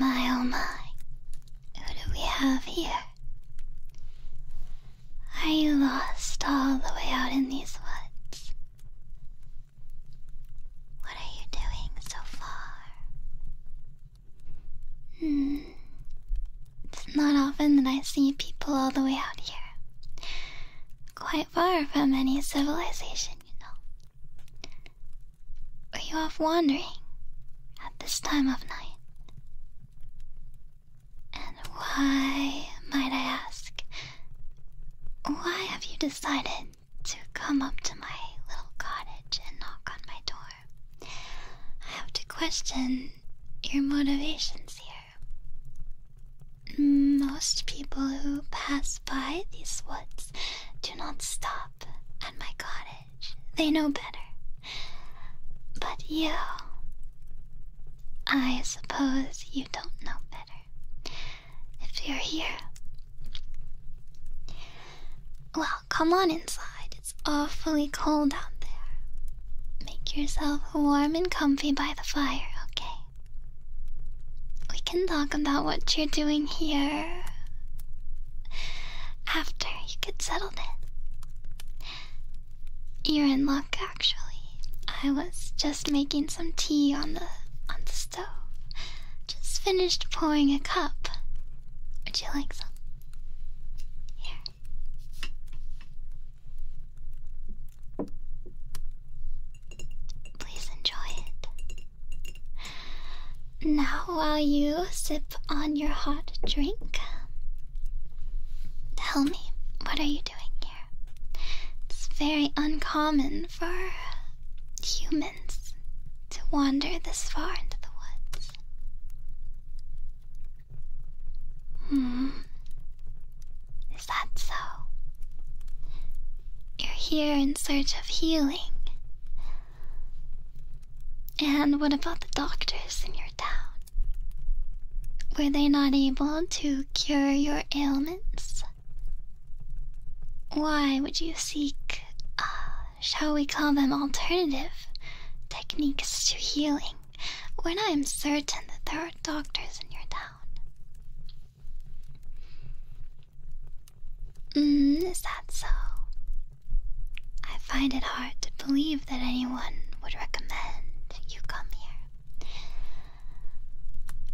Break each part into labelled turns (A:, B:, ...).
A: My oh my, who do we have here? Are you lost all the way out in these woods? What are you doing so far? Hmm. It's not often that I see people all the way out here. Quite far from any civilization, you know. Are you off wandering at this time of night? And why, might I ask, why have you decided to come up to my little cottage and knock on my door? I have to question your motivations here. Most people who pass by these woods do not stop at my cottage, they know better. But you, I suppose you don't know better. If you're here. Well, come on inside. It's awfully cold out there. Make yourself warm and comfy by the fire, okay? We can talk about what you're doing here. After you get settled in. You're in luck, actually. I was just making some tea on the on the stove. Just finished pouring a cup. Would you like some? Here. Please enjoy it. Now, while you sip on your hot drink, tell me, what are you doing? It's very uncommon for humans to wander this far into the woods. Hmm. Is that so? You're here in search of healing. And what about the doctors in your town? Were they not able to cure your ailments? Why would you seek, uh, shall we call them alternative techniques to healing when I am certain that there are doctors in your town? Mm, is that so? I find it hard to believe that anyone would recommend you come here.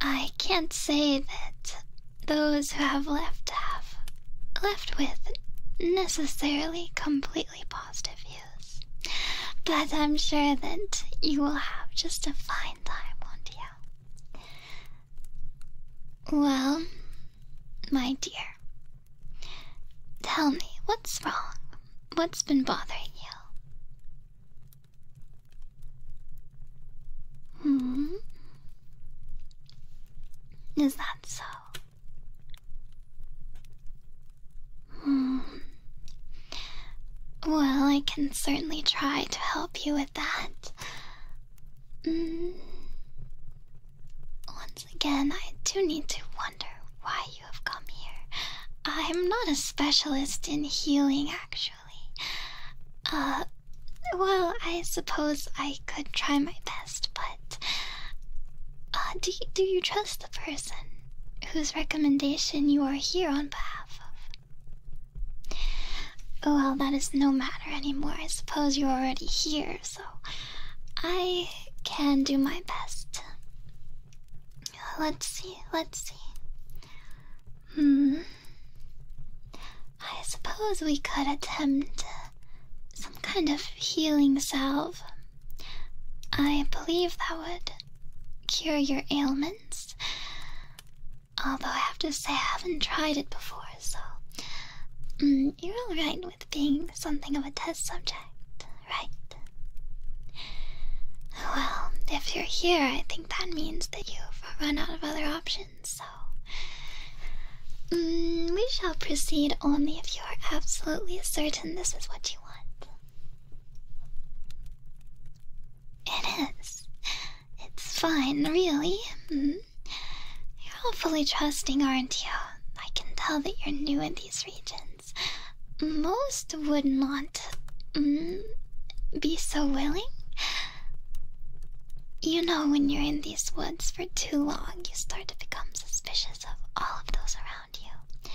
A: I can't say that those who have left have left with necessarily completely positive views, but I'm sure that you will have just a fine time, won't you? Well, my dear, tell me what's wrong? What's been bothering you? Hmm? Is that so? Hmm. Well, I can certainly try to help you with that. Mm. Once again, I do need to wonder why have come here. I'm not a specialist in healing, actually. Uh, well, I suppose I could try my best, but. Uh, do, you, do you trust the person whose recommendation you are here on behalf of? Well, that is no matter anymore. I suppose you're already here, so I can do my best. Let's see, let's see. Hmm. I suppose we could attempt uh, some kind of healing salve. I believe that would cure your ailments. Although I have to say, I haven't tried it before, so. Hmm, you're alright with being something of a test subject. Right, Well, if you're here, I think that means that you've run out of other options, so. Mm, we shall proceed only if you are absolutely certain this is what you want. It is. It's fine, really. Hmm? You're awfully trusting, aren't you? I can tell that you're new in these regions. Most would not mm, be so willing. You know, when you're in these woods for too long, you start to become suspicious of all of those around you.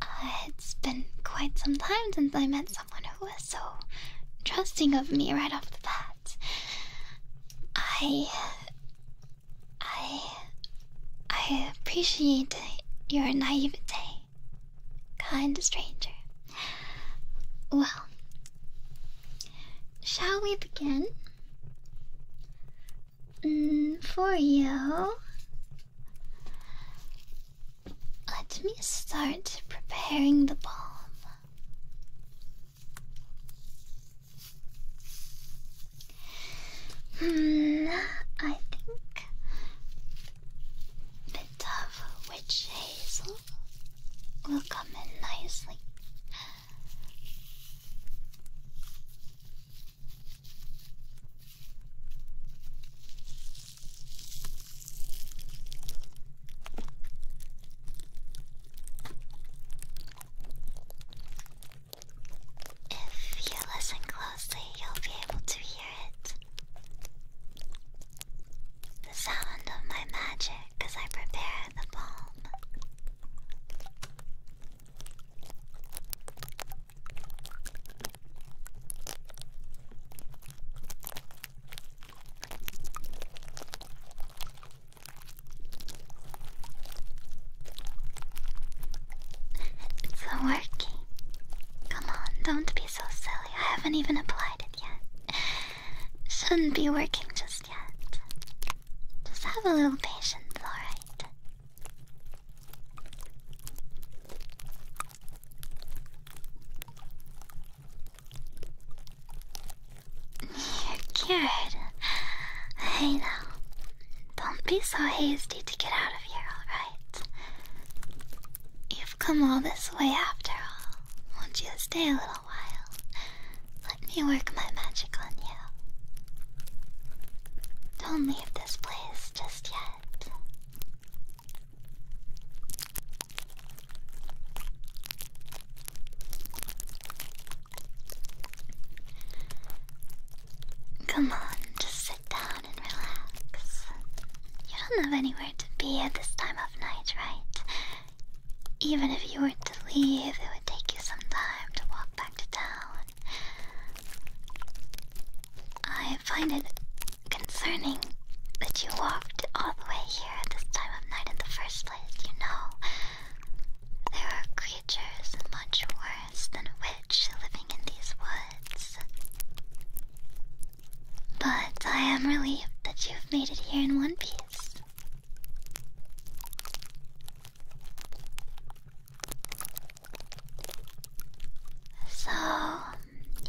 A: Uh, it's been quite some time since I met someone who was so trusting of me right off the bat. I. I. I appreciate your naivete, kind stranger. Well, shall we begin? Mm, for you, let me start preparing the balm. Hmm, I think a bit witch hazel will come in nicely. If you listen closely, you'll be able to hear it. The sound of my magic as I prepare the palm. it's working. Come on, don't be so silly. I haven't even applied it yet. Shouldn't be working just yet. Just have a little patience, alright? You're cured. I know. Don't be so hasty to get out of here, alright? You've come all this way after all. Won't you stay a little while? Let me work my magic on you. Don't leave this place just yet. Come on, just down and relax. You don't have anywhere to be at this time of night, right? Even if you were to leave, it would take you some time to walk back to town. I find it concerning that you walked all the way here at this time of night in the first place, you know. There are creatures much worse than a witch living in these woods. But I am relieved that you've made it here in one piece. So,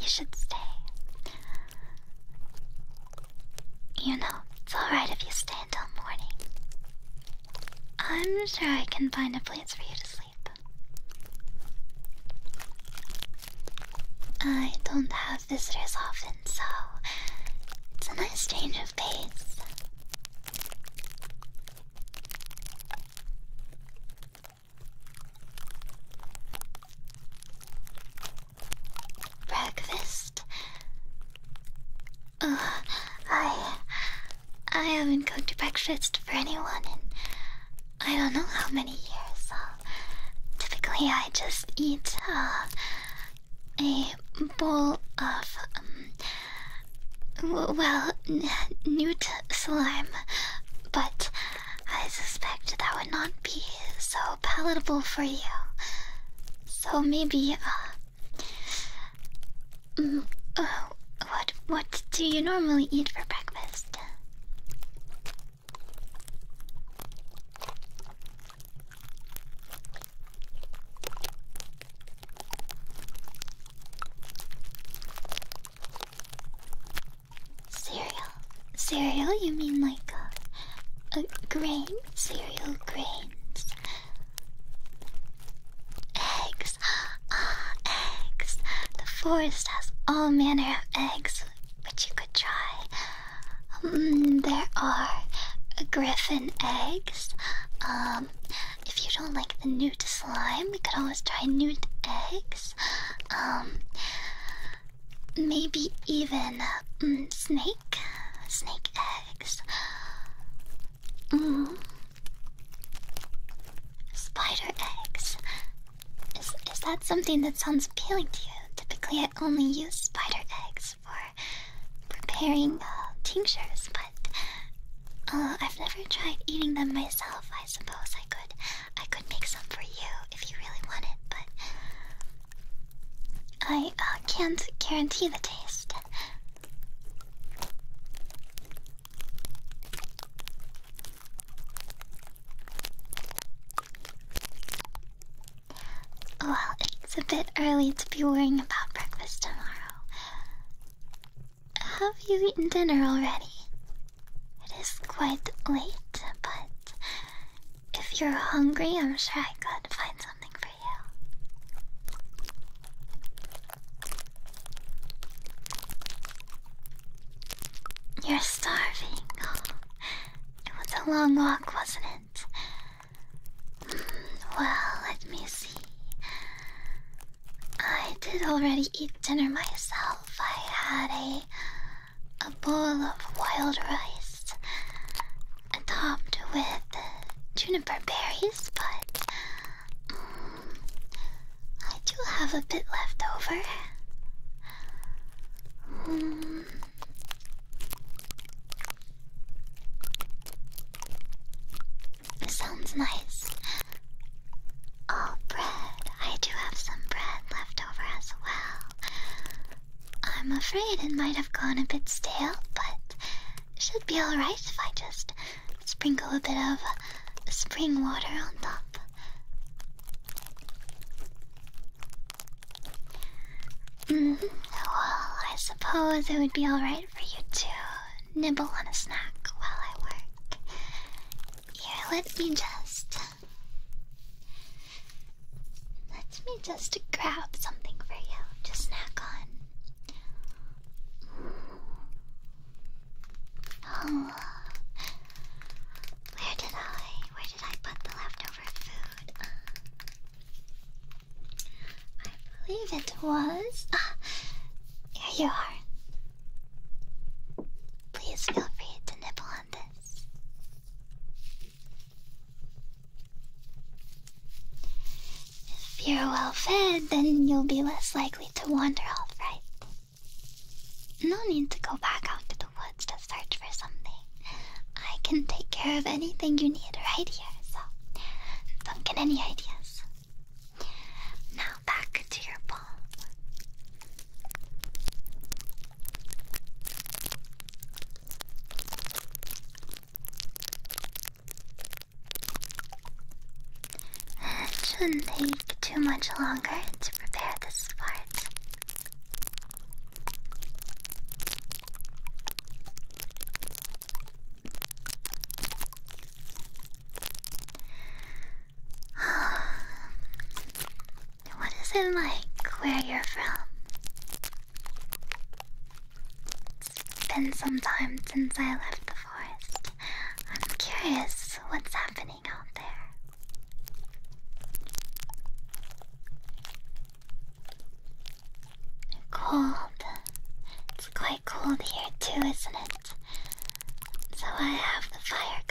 A: you should stay. You know, it's alright if you stay until morning. I'm sure I can find a place for you to I don't have visitors often, so it's a nice change of pace. Breakfast? Ugh, I I haven't cooked breakfast for anyone in I don't know how many years, so typically I just eat uh, a bowl of, um, well, newt slime, but I suspect that would not be so palatable for you. So maybe, uh, Mm, uh, what what do you normally eat for breakfast? Cereal. Cereal? You mean like a, uh, a grain? Cereal grains. Eggs, ah, eggs. The forest has all manner of eggs which you could try. Mm, there are griffin eggs. Um, if you don't like the newt slime, we could always try newt eggs. Um, maybe even mm, snake, snake eggs. Mm, Spider eggs. Is, is that something that sounds appealing to you? Typically, I only use spider eggs for preparing uh, tinctures, but uh, I've never tried eating them myself. I suppose I could, I could make some for you if you really want it, but I uh, can't guarantee the taste. Well, it's a bit early to be worrying about breakfast tomorrow. Have you eaten dinner already? It is quite late, but if you're hungry, I'm sure I could find something for you. You're starving. it was a long walk, wasn't it? Hmm, well, let me see. I did already eat dinner myself. I had a a bowl of wild rice, topped with juniper berries, but hmm, I do have a bit left over. Um, sounds nice. Oh, bread. I do have some bread left over as well. I'm afraid it might have gone a bit stale, but should be alright if I just sprinkle a bit of spring water on top. Mm-hmm. Well, I suppose it would be alright for you to nibble on a snack while I work. Here, let me just. Let me just grab something for you to snack on. Oh, where did I? Where did I put the leftover food? I believe it was. Ah, here you are. Please feel free to nibble on this. If you're well fed, then you'll be less likely to wander off, right? No need to go back out to the woods to search for something. I can take care of anything you need right here, so don't get any ideas. Now back to your palm. It shouldn't take too much longer to prepare this part. what is it like where you're from? It's been some time since I left the forest. I'm curious what's happening out there. Cold. It's quite cold here too, isn't it? So I have the fire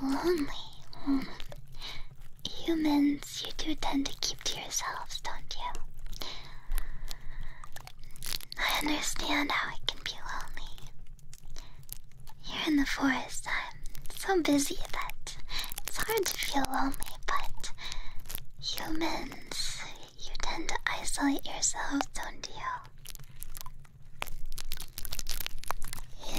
A: going. Lonely. Hmm, humans, you do tend to keep to yourselves, don't you? I understand how it can be lonely. Here in the forest, I'm so busy that it's hard to feel lonely, but humans, you tend to isolate yourselves, don't you?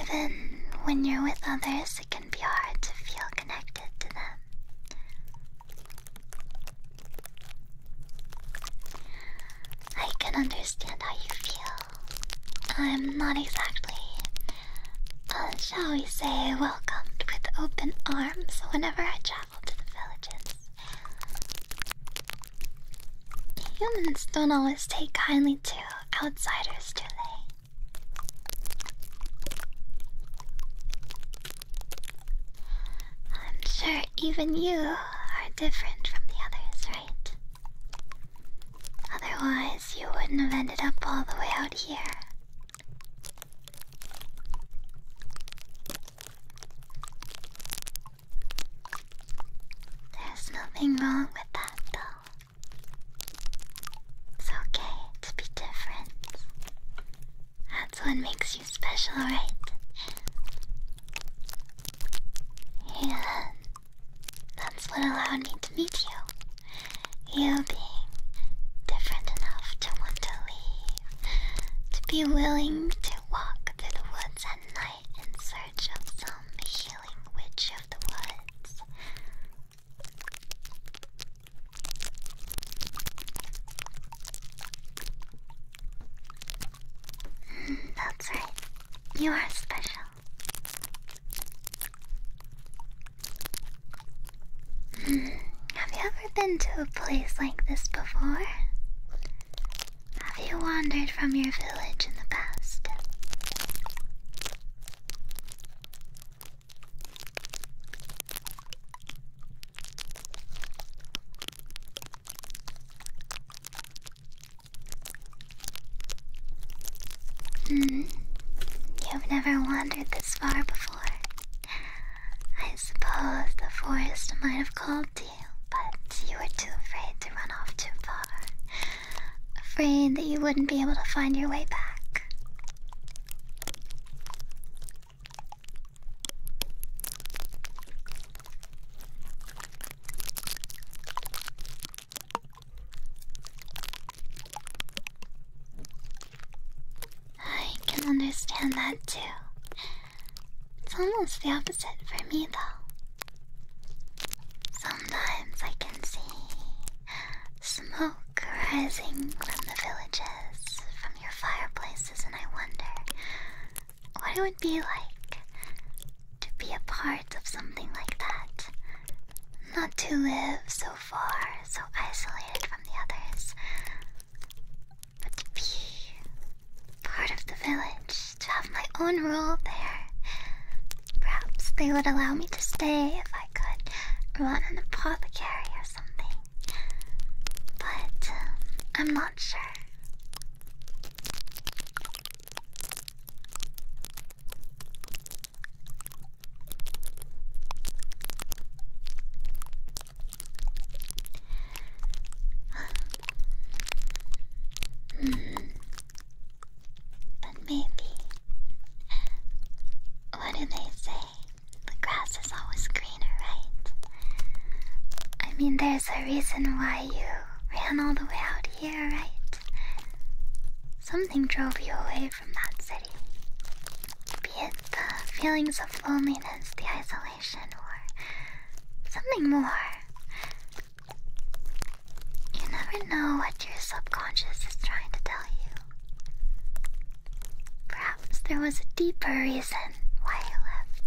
A: Even when you're with others, it can be hard to feel connected to them. I can understand how you feel. I'm not exactly, uh, shall we say, welcomed with open arms whenever I travel to the villages. Humans don't always take kindly to outsiders, do they? I'm sure even you are different from the others, right? Otherwise, you wouldn't have ended up all the way out here. There's nothing wrong with that, though. It's okay to be different. That's what makes you special, right? Yeah, that's what allowed me to meet you. You being different enough to want to leave, to be willing to walk through the woods at night in search of some healing witch of the woods. That's right. You are special. Have you ever been to a place like this before? Have you wandered from your village in the past? Hmm. You've never wandered this far before. I suppose the forest might have called to you, but you were too afraid to run off too far. Afraid that you wouldn't be able to find your way back. I can understand that too. It's almost the opposite for me though. Sometimes I can see smoke rising from the villages, from your fireplaces, and I wonder what it would be like to be a part of something like that. Not to live so far, so isolated from the others, but to be part of the village, to have my own role there. Perhaps they would allow me to stay if I could run an apothecary or something but um, I'm not sure. mm. But maybe. What do they say? The grass is always right? I mean, there's a reason why you ran all the way out here, right? Something drove you away from that city. Be it the feelings of loneliness, the isolation, or something more. You never know what your subconscious is trying to tell you. Perhaps there was a deeper reason why you left.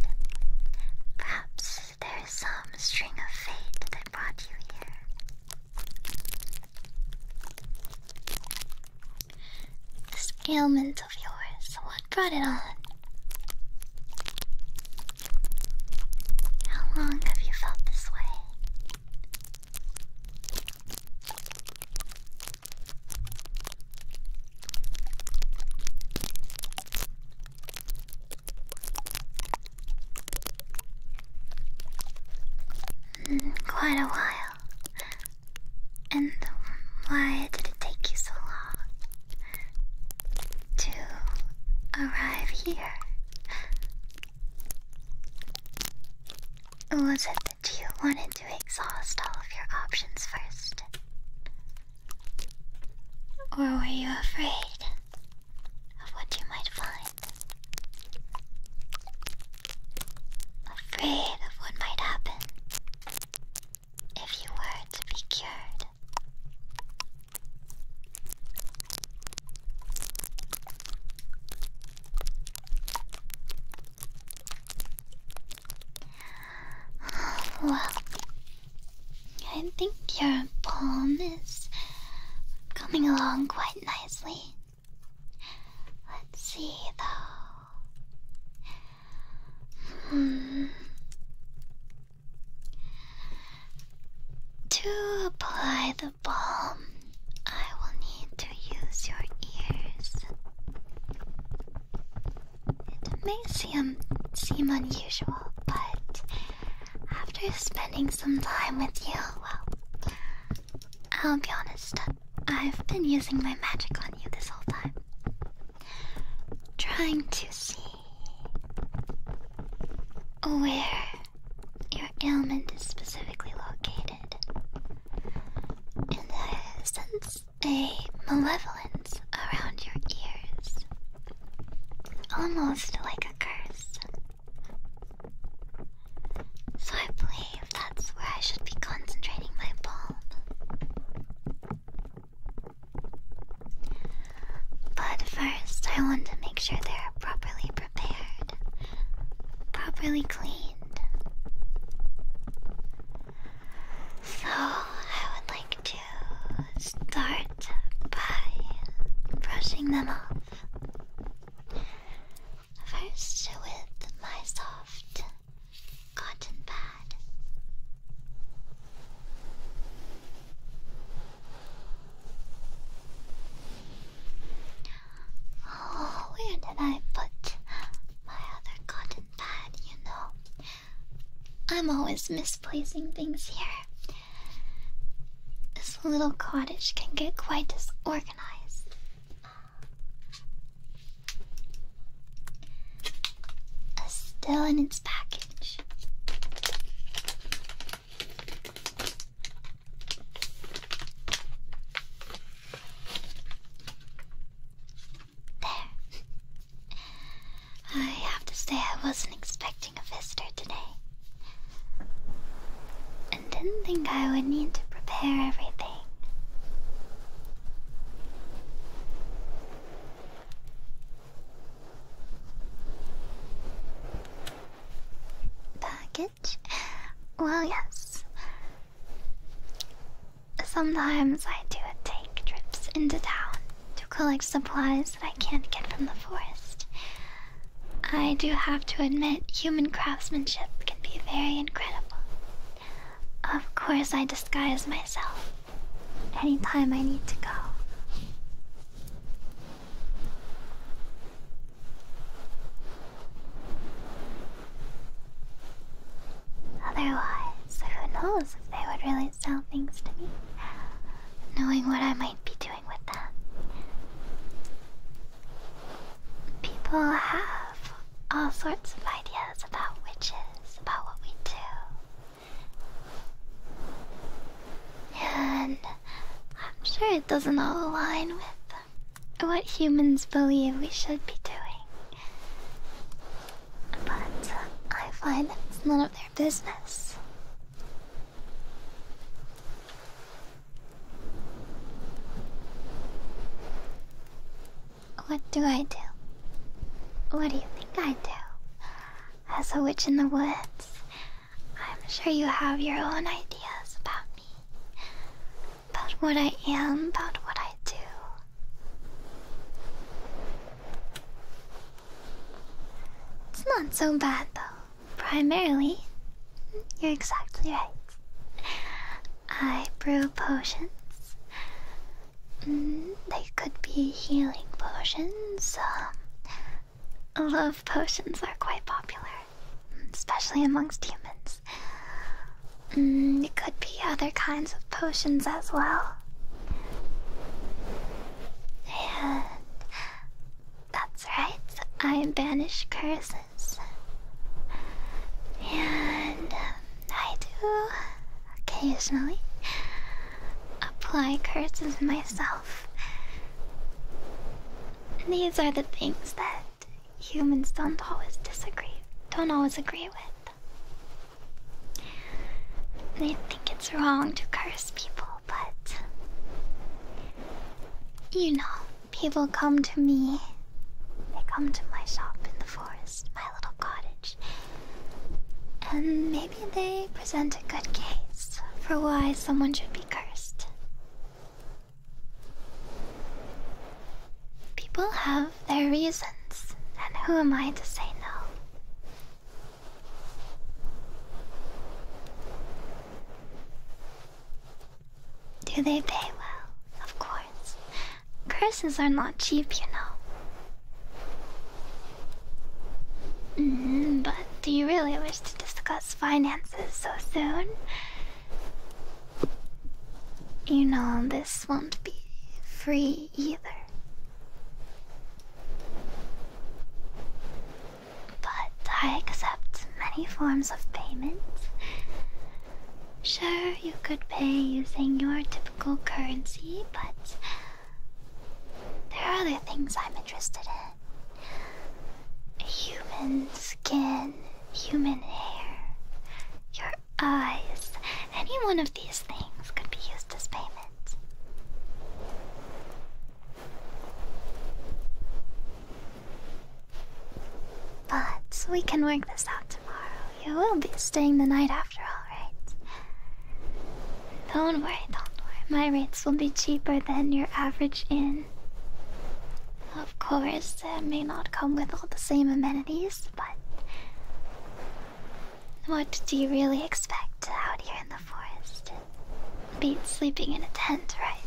A: Perhaps there is some string of fate that brought you here. This ailment of yours, what brought it on? How long have you felt this way? Mm, quite a while. And why did it take you so long to arrive here? Was it that you wanted to exhaust all of your options first? Or were you afraid of what you might find? Afraid of what might happen if you were to be cured? Well, I think your poem is coming along quite nicely. Let's see though. Hmm. To apply the balm, I will need to use your ears. It may seem, seem unusual, but after spending some time with you, well, I'll be honest, I've been using my magic on you this whole time. Trying to see where your ailment is specifically located. And uh, since a malevolence around your ears, almost like a curse. So I believe that's where I should be concentrating my balm. But first, I want to make sure they're properly prepared, properly cleaned. So I would like to to start by brushing them off. First, with my soft cotton pad. Oh, where did I put my other cotton pad? You know, I'm always misplacing things here. This little cottage can get quite disorganized. still in its package. There. I have to say, I wasn't expecting a visitor today. And didn't think I would need to prepare everything. Package? Well, yes. Sometimes I do take trips into town to collect supplies that I can't get from the forest. I do have to admit, human craftsmanship can be very incredible. Of course, I disguise myself anytime I need to go. Otherwise, who knows if they would really sell things to me, knowing what I might be doing with them. People have all sorts of ideas about witches, about what we do. And I'm sure it doesn't all align with what humans believe we should be doing. But uh, I find it's none of their business. What do I do? What do you think I do? As a witch in the woods, I'm sure you have your own ideas about me, about what I am, about what I do. It's not so bad though. Primarily, you're exactly right. I brew potions. Mm, they could be healing potions. Um, love potions are quite popular, especially amongst humans. Mm, it could be other kinds of potions as well. And that's right, I banish curses. And um, I do occasionally apply curses myself. These are the things that humans don't always disagree, don't always agree with. I think it's wrong to curse people, but. You know, people come to me. They come to my shop in the forest, my little cottage. And maybe they present a good case for why someone should be cursed. People have their reasons, and who am I to say no? Do they pay well? Of course. Curses are not cheap, you know. Mm-hmm, but do you really wish to discuss finances so soon? You know, this won't be free either. But I accept many forms of payment. Sure, you could pay using your typical currency, but there are other things I'm interested in human skin, human hair, your eyes. Any one of these things could be used as payment. But we can work this out tomorrow. You will be staying the night after all, right? Don't worry, don't worry. My rates will be cheaper than your average inn. Of course, it may not come with all the same amenities, but what do you really expect out here in the forest? Beat sleeping in a tent, right?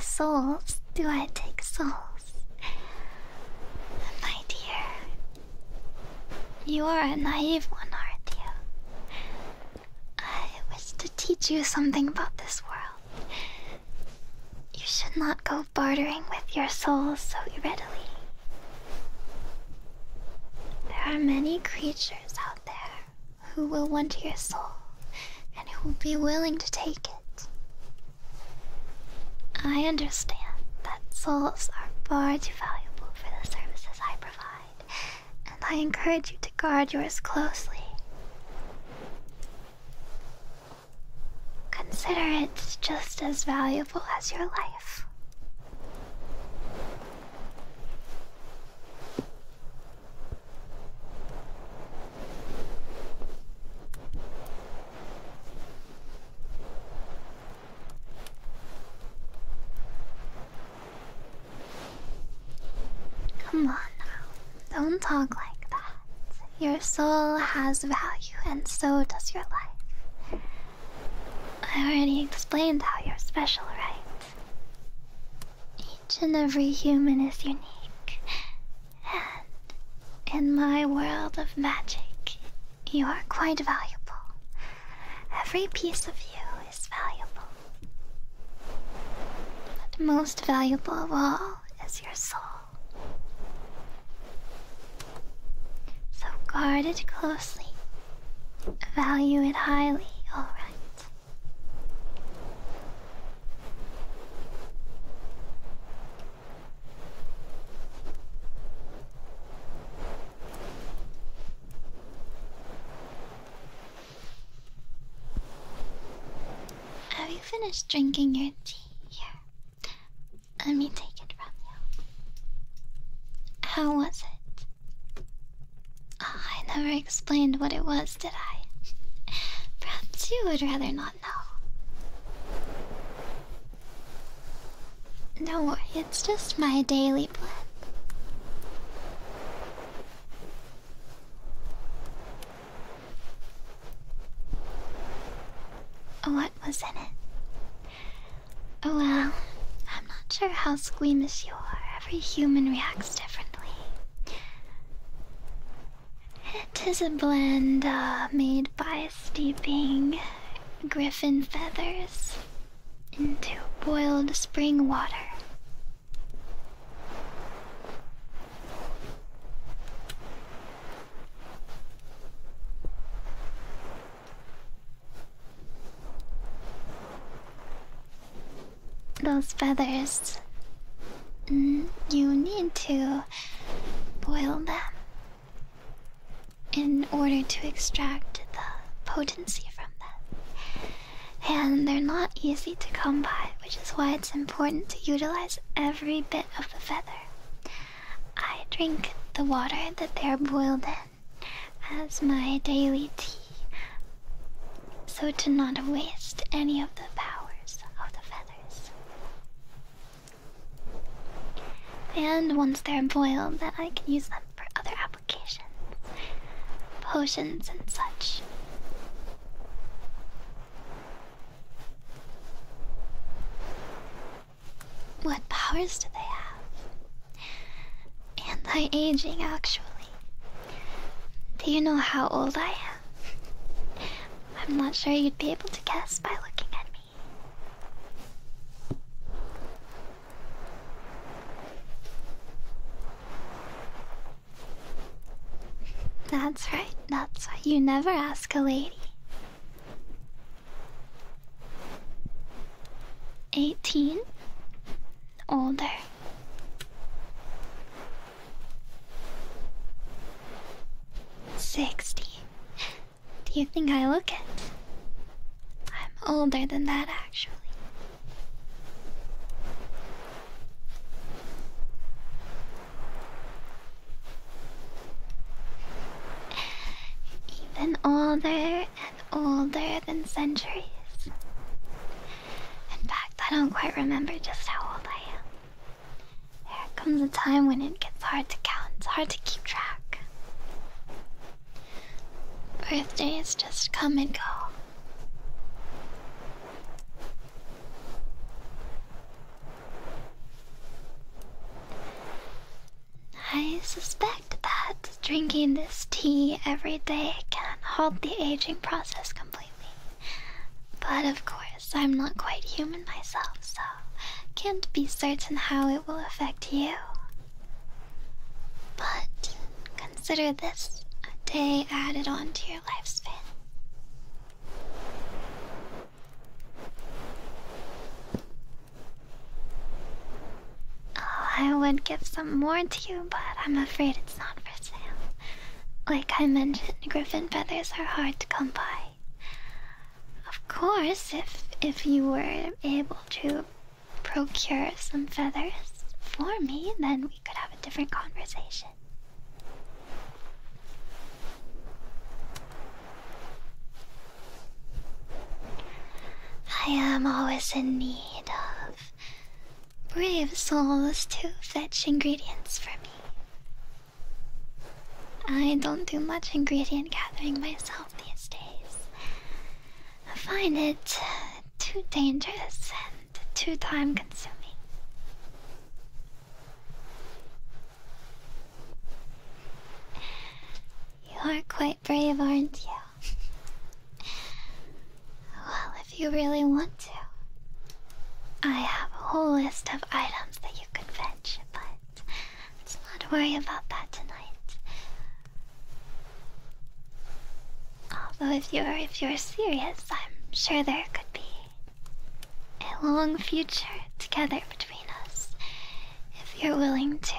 A: Souls? Do I take souls? My dear, you are a naive one, aren't you? I wish to teach you something about this world. You should not go bartering with your soul so readily. There are many creatures out there who will want your soul and who will be willing to take it. I understand that souls are far too valuable for the services I provide, and I encourage you to guard yours closely. Consider it just as valuable as your life. Come on now, don't talk like that. Your soul has value, and so does your life. I already explained how you're special, right? Each and every human is unique, and in my world of magic, you are quite valuable. Every piece of you is valuable. But most valuable of all is your soul. So guard it closely. Value it highly, alright. Have you finished drinking your tea? Here, let me take it from you. How was it? Ah, I never explained what it was, did I? Perhaps you would rather not know. No it's just my daily plan. What was in it? Oh well, I'm not sure how squeamish you are. Every human reacts differently. It is a blend uh, made by steeping griffin feathers into boiled spring water. Those feathers, mm, you need to boil them in order to extract the potency from them and they're not easy to come by, which is why it's important to utilize every bit of the feather. I drink the water that they're boiled in as my daily tea, so to not waste any of the powers of the feathers. And once they're boiled, then I can use them for other applications potions, and such. What powers do they have? Anti-aging, actually. Do you know how old I am? I'm not sure you'd be able to guess by looking at me. That's right, that's why you never ask a lady. 18 older Sixty. Do you think I look it? I'm older than that actually. Even older and older than centuries. In fact, I don't quite remember just how old I am. There comes a time when it gets hard to count, hard to keep track. Birthdays just come and go. I suspect that drinking this tea every day can halt the aging process completely. But of course, I'm not quite human myself, so can't be certain how it will affect you. But consider this a day added on to your lifespan. Oh, I would give some more to you, but I'm afraid it's not for sale. Like I mentioned, griffin feathers are hard to come by. Of course, if if you were able to procure some feathers for me, then we could have a different conversation. I am always in need of brave souls to fetch ingredients for me. I don't do much ingredient gathering myself these days. I find it too dangerous and too time consuming. You're quite brave, aren't you? well, if you really want to, I have a whole list of items that you could fetch, but let's not worry about that tonight. Although if you're if you're serious, I'm sure there could be a long future together between us. If you're willing to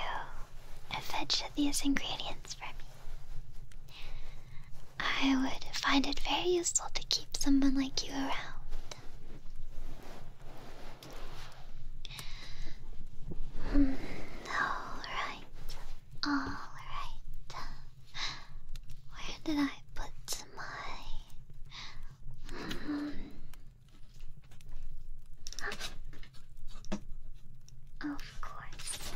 A: fetch these ingredients for me. I would find it very useful to keep someone like you around. Hmm, all right. Alright. Where did I put my. Um, of course.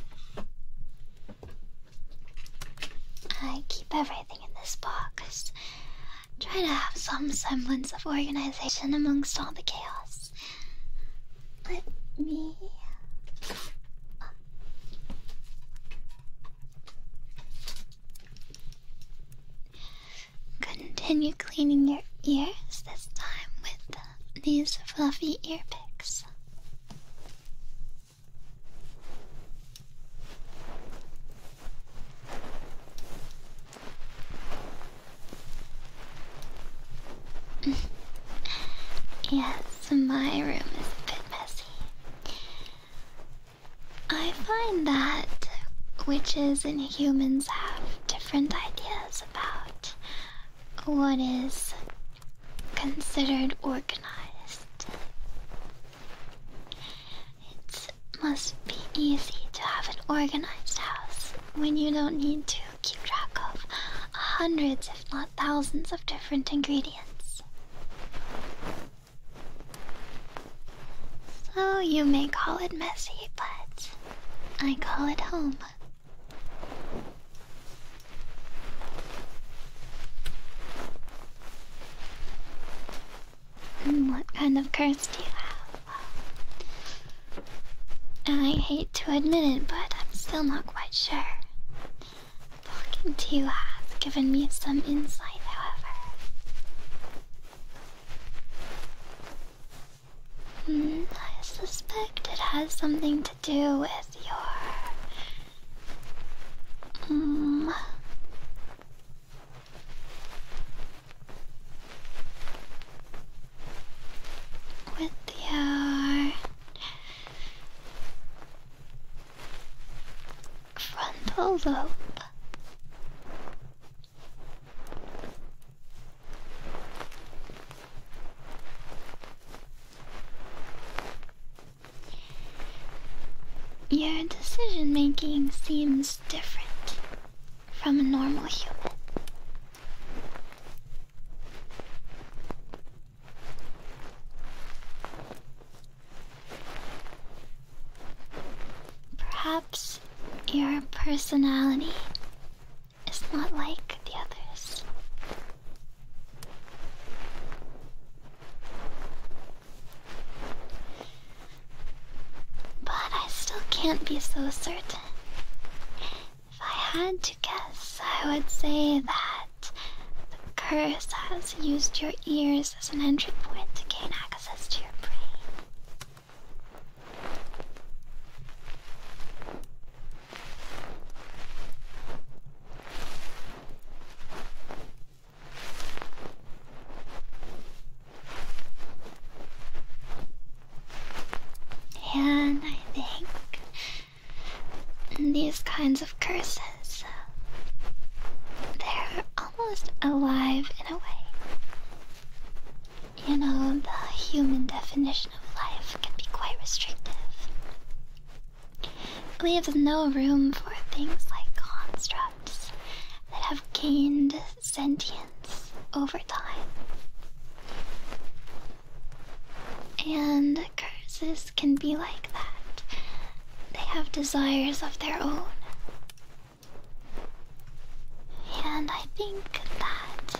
A: I keep everything in this box. Try to have some semblance of organization amongst all the chaos let me. Continue cleaning your ears this time with these fluffy ear picks. yes, so my room is a bit messy. I find that witches and humans have different ideas about what is considered organized. It must be easy to have an organized house when you don't need to keep track of hundreds, if not thousands, of different ingredients. So you may call it messy, but I call it home. what kind of curse do you have? I hate to admit it, but I'm still not quite sure. Talking to you has given me some insight, however. Hmm, I suspect it has something to do with your. Mm, with your frontal lobe. Your decision making seems different from a normal human. Perhaps your personality is not like the others. But I still can't be so certain. If I had to guess, I would say that the curse has used your ears as an entry point to gain access to your brain. And I think these kinds of curses. They're almost alive in a way. You know, the human definition of life can be quite restrictive. It leaves no room for things like constructs that have gained sentience over time. And curses can be like that. They have desires of their own. And I think that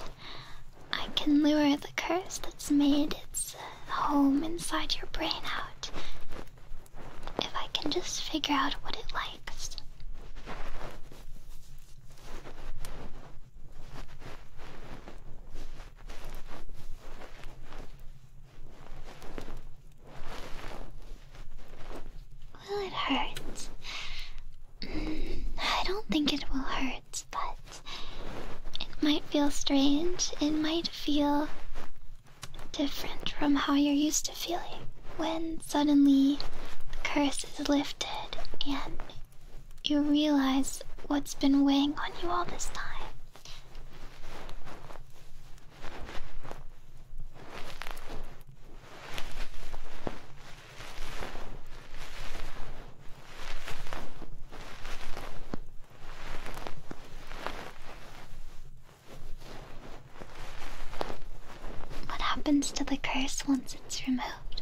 A: I can lure the curse that's made its uh, home inside your brain out. If I can just figure out what it likes. Will it hurt? I don't think it will hurt, but it might feel strange. It might feel different from how you're used to feeling when suddenly the curse is lifted and you realize what's been weighing on you all this time. What happens to the curse once it's removed?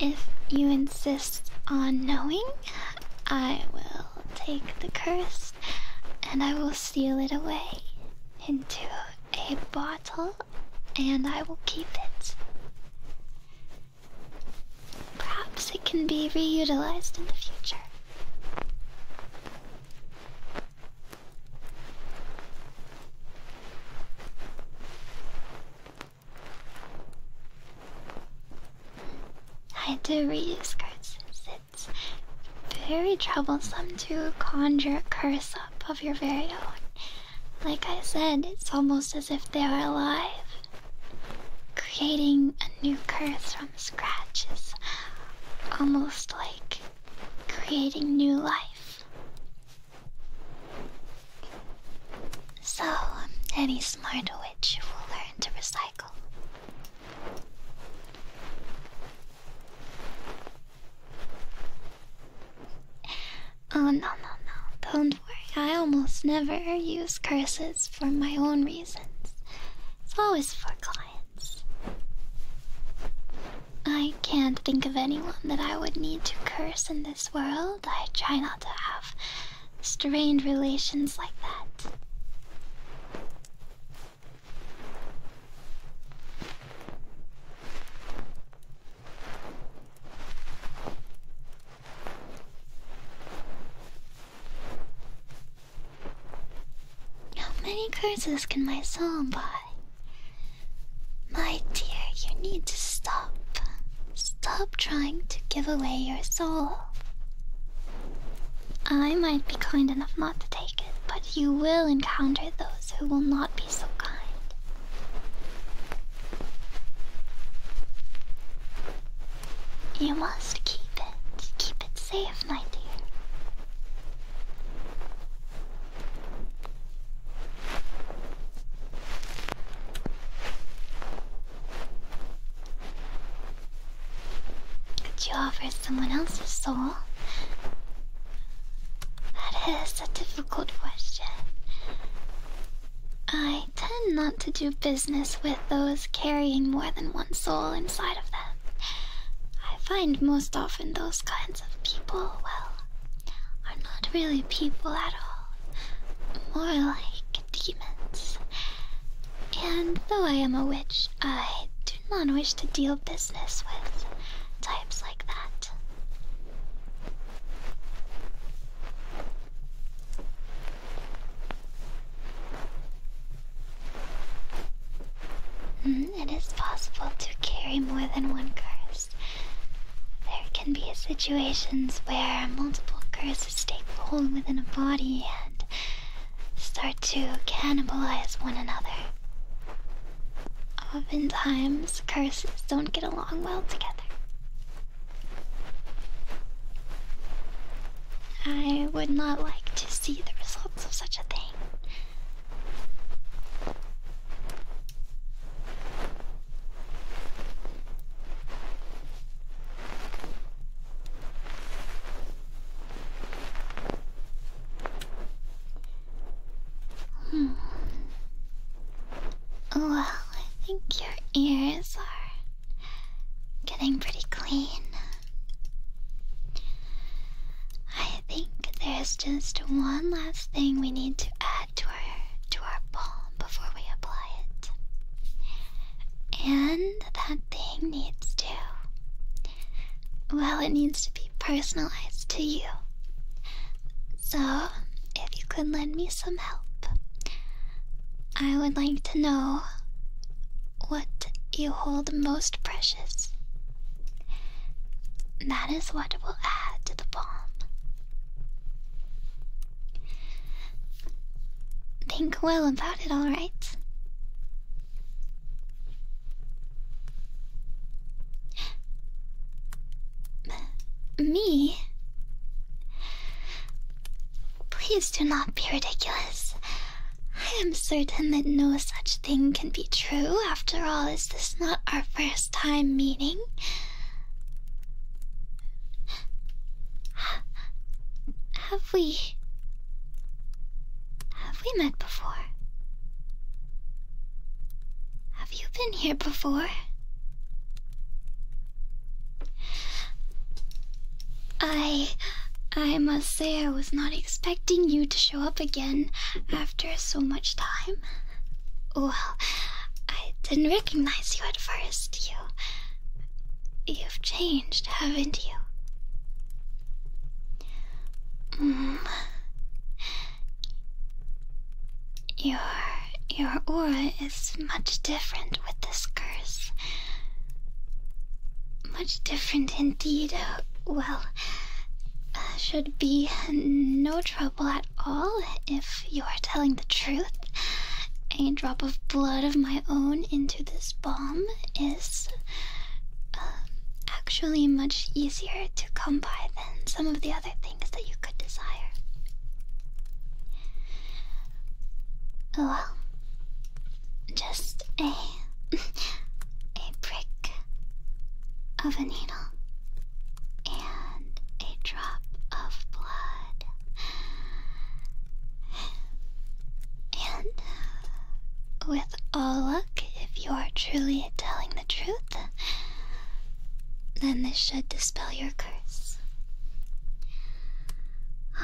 A: If you insist on knowing, I will take the curse and I will seal it away into a bottle and I will keep it. Perhaps it can be reutilized in the future. I do reuse curses. It's very troublesome to conjure a curse up of your very own. Like I said, it's almost as if they are alive. Creating a new curse from scratch is almost like creating new life. So, um, any smart witch will learn to recycle. Oh, no, no, no, don't worry. I almost never use curses for my own reasons, it's always for clients. I can't think of anyone that I would need to curse in this world. I try not to have strained relations like that. How many curses can my soul buy? My dear, you need to stop. Stop trying to give away your soul. I might be kind enough not to take it, but you will encounter those who will not be so kind. You must keep it. Keep it safe, my dear. Could you offer someone else's soul? That is a difficult question. I tend not to do business with those carrying more than one soul inside of them. I find most often those kinds of people, well, are not really people at all. More like demons. And though I am a witch, I do not wish to deal business with types like that. Hmm, it is possible to carry more than one curse. There can be situations where multiple curses to take hold within a body and start to cannibalize one another. Oftentimes, curses don't get along well together. I would not like to see the results of such a thing. Hmm. Oh, well, I think your ears are getting pretty clean. I think there's just one last thing we need to add to to our palm before we apply it. And that thing needs to. Well, it needs to be personalized to you. So, if you could lend me some help, I would like to know what you hold most precious. That is what will add to the palm. Think well about it, alright? Me? Please do not be ridiculous. I am certain that no such thing can be true. After all, is this not our first time meeting? Have we. Have we met before? Have you been here before? I. I must say, I was not expecting you to show up again after so much time. Well, I didn't recognize you at first. You've changed, haven't you? Mm. Your your aura is much different with this curse. Much different indeed. Uh, well, uh, should be no trouble at all if you are telling the truth, a drop of blood of my own into this balm is um, actually much easier to come by than some of the other things that you could desire. Oh, well, just a a prick of a needle and a drop of blood. And with all luck, if you are truly telling the truth, then this should dispel your curse.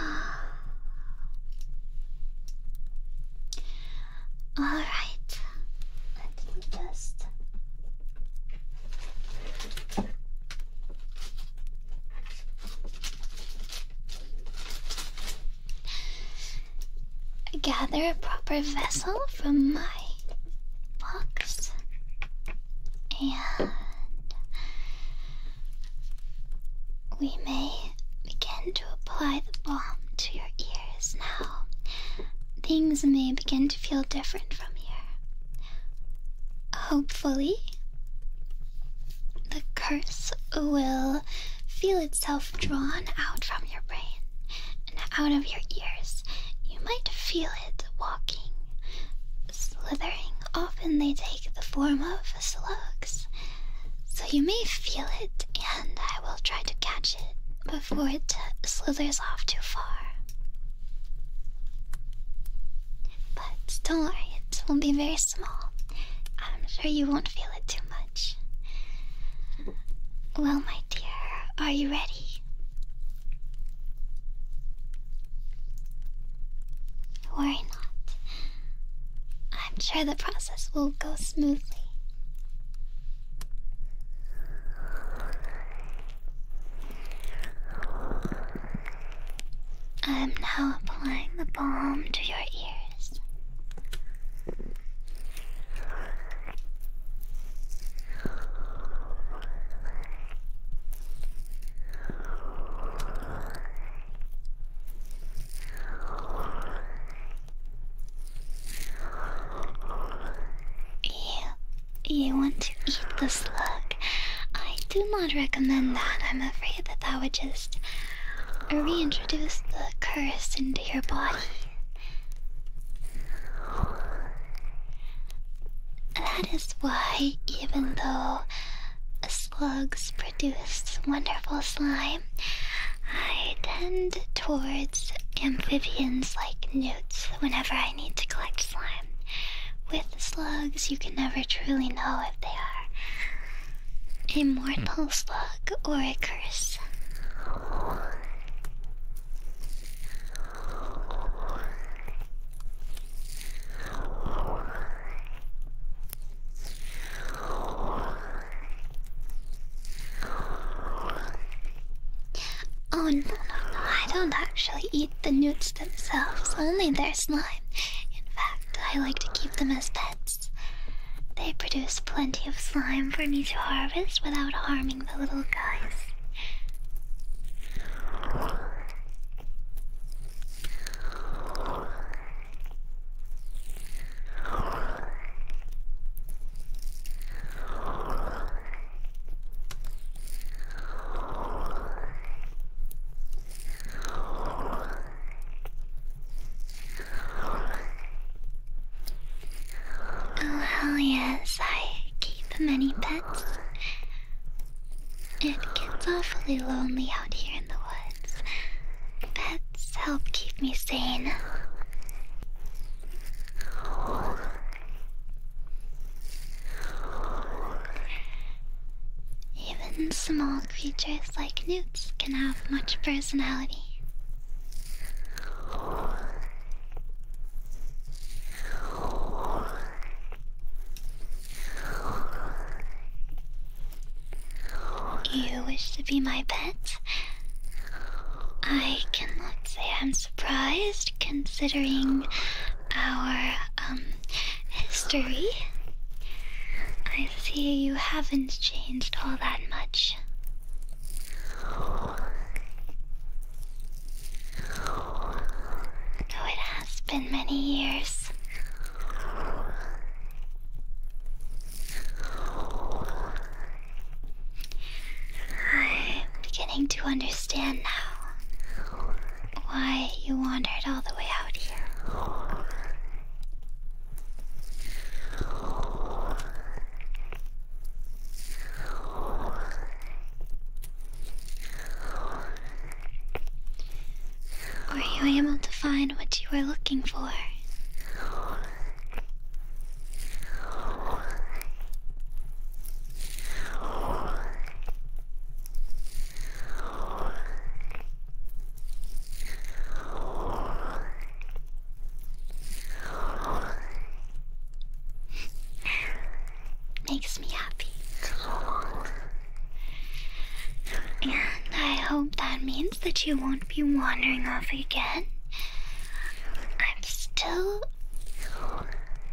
A: Alright, let me just Gather a proper vessel from my box and we may begin to apply the balm to your ears now. Things may begin to feel different from here. Hopefully, the curse will feel itself drawn out from your brain and out of your ears. You might feel it walking, slithering. Often they take the form of slugs. So you may feel it, and I will try to catch it before it slithers off too far. But don't worry, it will not be very small. I'm sure you won't feel it too much. Well, my dear, are you ready? Worry not. I'm sure the process will go smoothly. I am now applying the balm to your ears. You, you want to eat the slug? I do not recommend that. I'm afraid that that would just reintroduce the curse into your body. That is why, even though slugs produce wonderful slime, I tend towards amphibians like newts whenever I need to collect with slugs, you can never truly know if they are a mortal slug or a curse. Oh no no no, I don't actually eat the newts themselves, only their slime. In fact, I like to keep them as pets. They produce plenty of slime for me to harvest without harming the little guys. Oh, hell yes, I keep many pets. It gets awfully lonely out here in the woods. Pets help keep me sane. Even small creatures like newts can have much personality. You wish to be my pet? I cannot say I'm surprised, considering our um history, I see you haven't changed all that much. Though it has been many years. I'm beginning to understand now why you wandered all the way out here. Were you able to find what you were looking for? Makes me happy. And I hope that means that you won't be wandering off again. I'm still.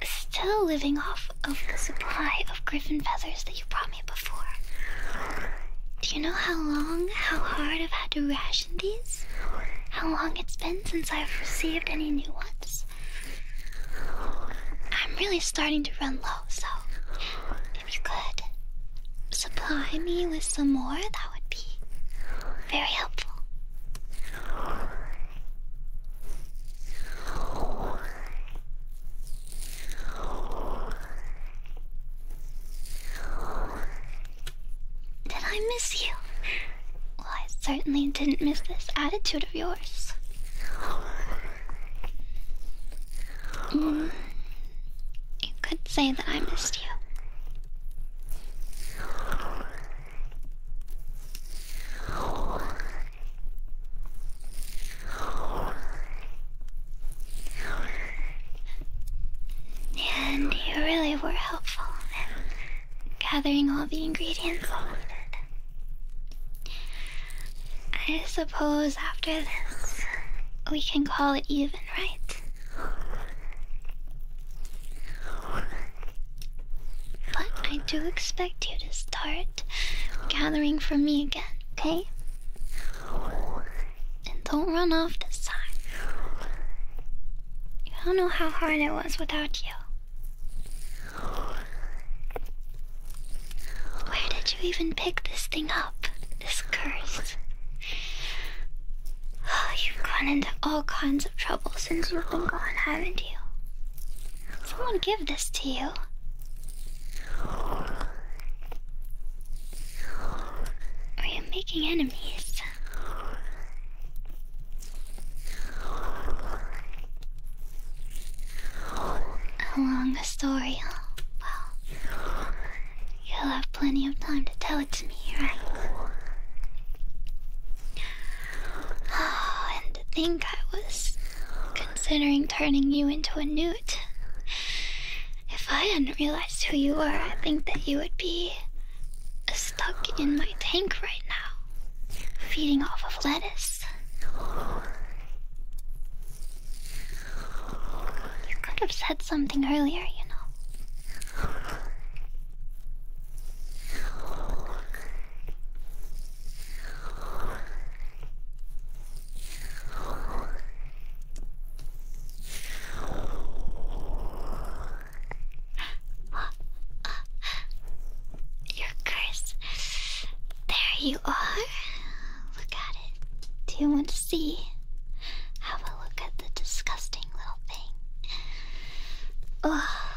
A: still living off of the supply of griffin feathers that you brought me before. Do you know how long, how hard I've had to ration these? How long it's been since I've received any new ones? I'm really starting to run low, so if you could supply me with some more, that would be very helpful. Did I miss you? I certainly didn't miss this attitude of yours. Mm. You could say that I missed you. And you really were helpful in gathering all the ingredients I I suppose after this, we can call it even, right? But I do expect you to start gathering for me again okay? And don't run off this time. You don't know how hard it was without you. Where did you even pick this thing up? This curse? Oh, you've gone into all kinds of trouble since you've been gone, haven't you? Someone give this to you. Are you making enemies? How long story, Well, you'll have plenty of time to tell it to me, right? Oh, and to think I was considering turning you into a newt. If I hadn't realized who you are, I think that you would be stuck in my tank right now, feeding off of lettuce. You could have said something earlier, you know. Your curse. There you are. Look at it. Do you want to see? Have a look at the disgusting little thing. Oh,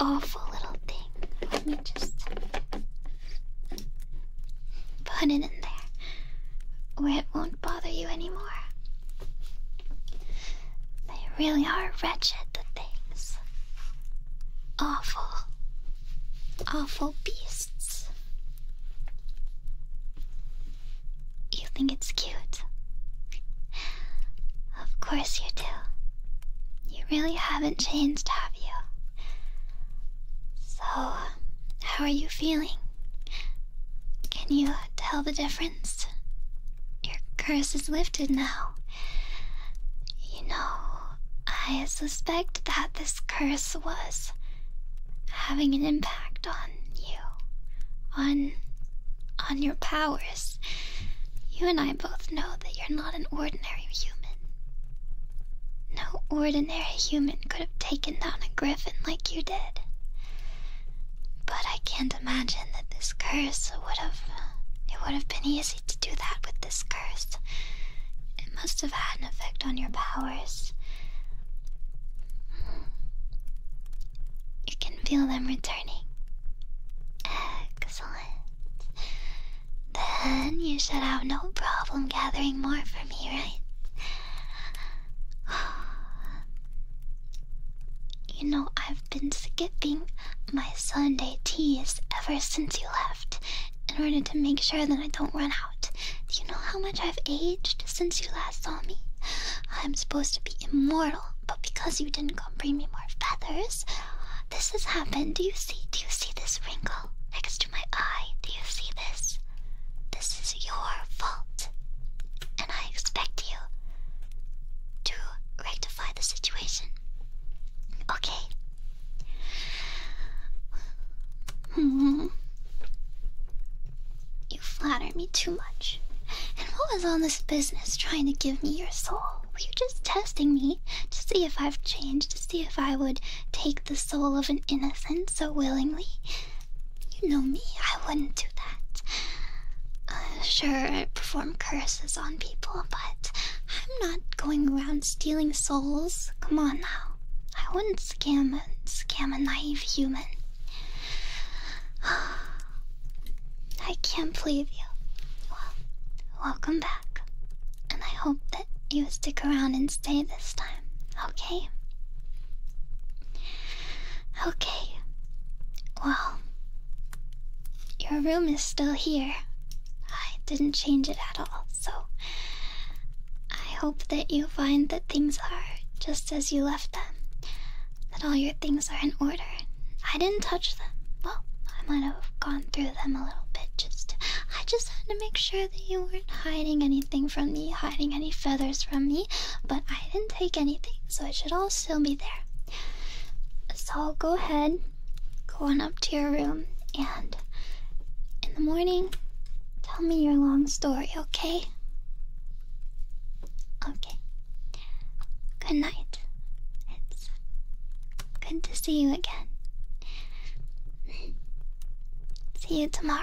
A: awful little thing. Let me just Put it in there where it won't bother you anymore. They really are wretched, the things. Awful, awful beasts. You think it's cute? Of course you do. You really haven't changed, have you? So, how are you feeling? Can you tell the difference? Your curse is lifted now. You know, I suspect that this curse was having an impact on you, on on your powers. You and I both know that you're not an ordinary human. No ordinary human could have taken down a griffin like you did. But I can't imagine that this curse would have. It would have been easy to do that with this curse. It must have had an effect on your powers. You can feel them returning. Excellent. Then you should have no problem gathering more for me, right? You know, I've been skipping my Sunday teas ever since you left in order to make sure that I don't run out. Do you know how much I've aged since you last saw me? I'm supposed to be immortal, but because you didn't come bring me more feathers, this has happened. Do you see? Do you see this wrinkle next to my eye? Do you see this? This is your fault. And I expect you to rectify the situation. Okay. You flatter me too much. And what was all this business trying to give me your soul? Were you just testing me? to see if I've changed, to see if I would take the soul of an innocent so willingly. You know me, I wouldn't do that. Uh, sure, I perform curses on people, but I'm not going around stealing souls. Come on now. I wouldn't scam a, scam a naive human. I can't believe you. welcome back, and I hope that you stick around and stay this time, okay? Okay. Well, your room is still here. I didn't change it at all, so I hope that you find that things are just as you left them, that all your things are in order. I didn't touch them. Well, I might have gone through them a little bit. Just, I just had to make sure that you weren't hiding anything from me, hiding any feathers from me. But I didn't take anything, so it should all still be there. So go ahead, go on up to your room, and in the morning, tell me your long story, okay? Okay. Good night. Good to see you again. See you tomorrow.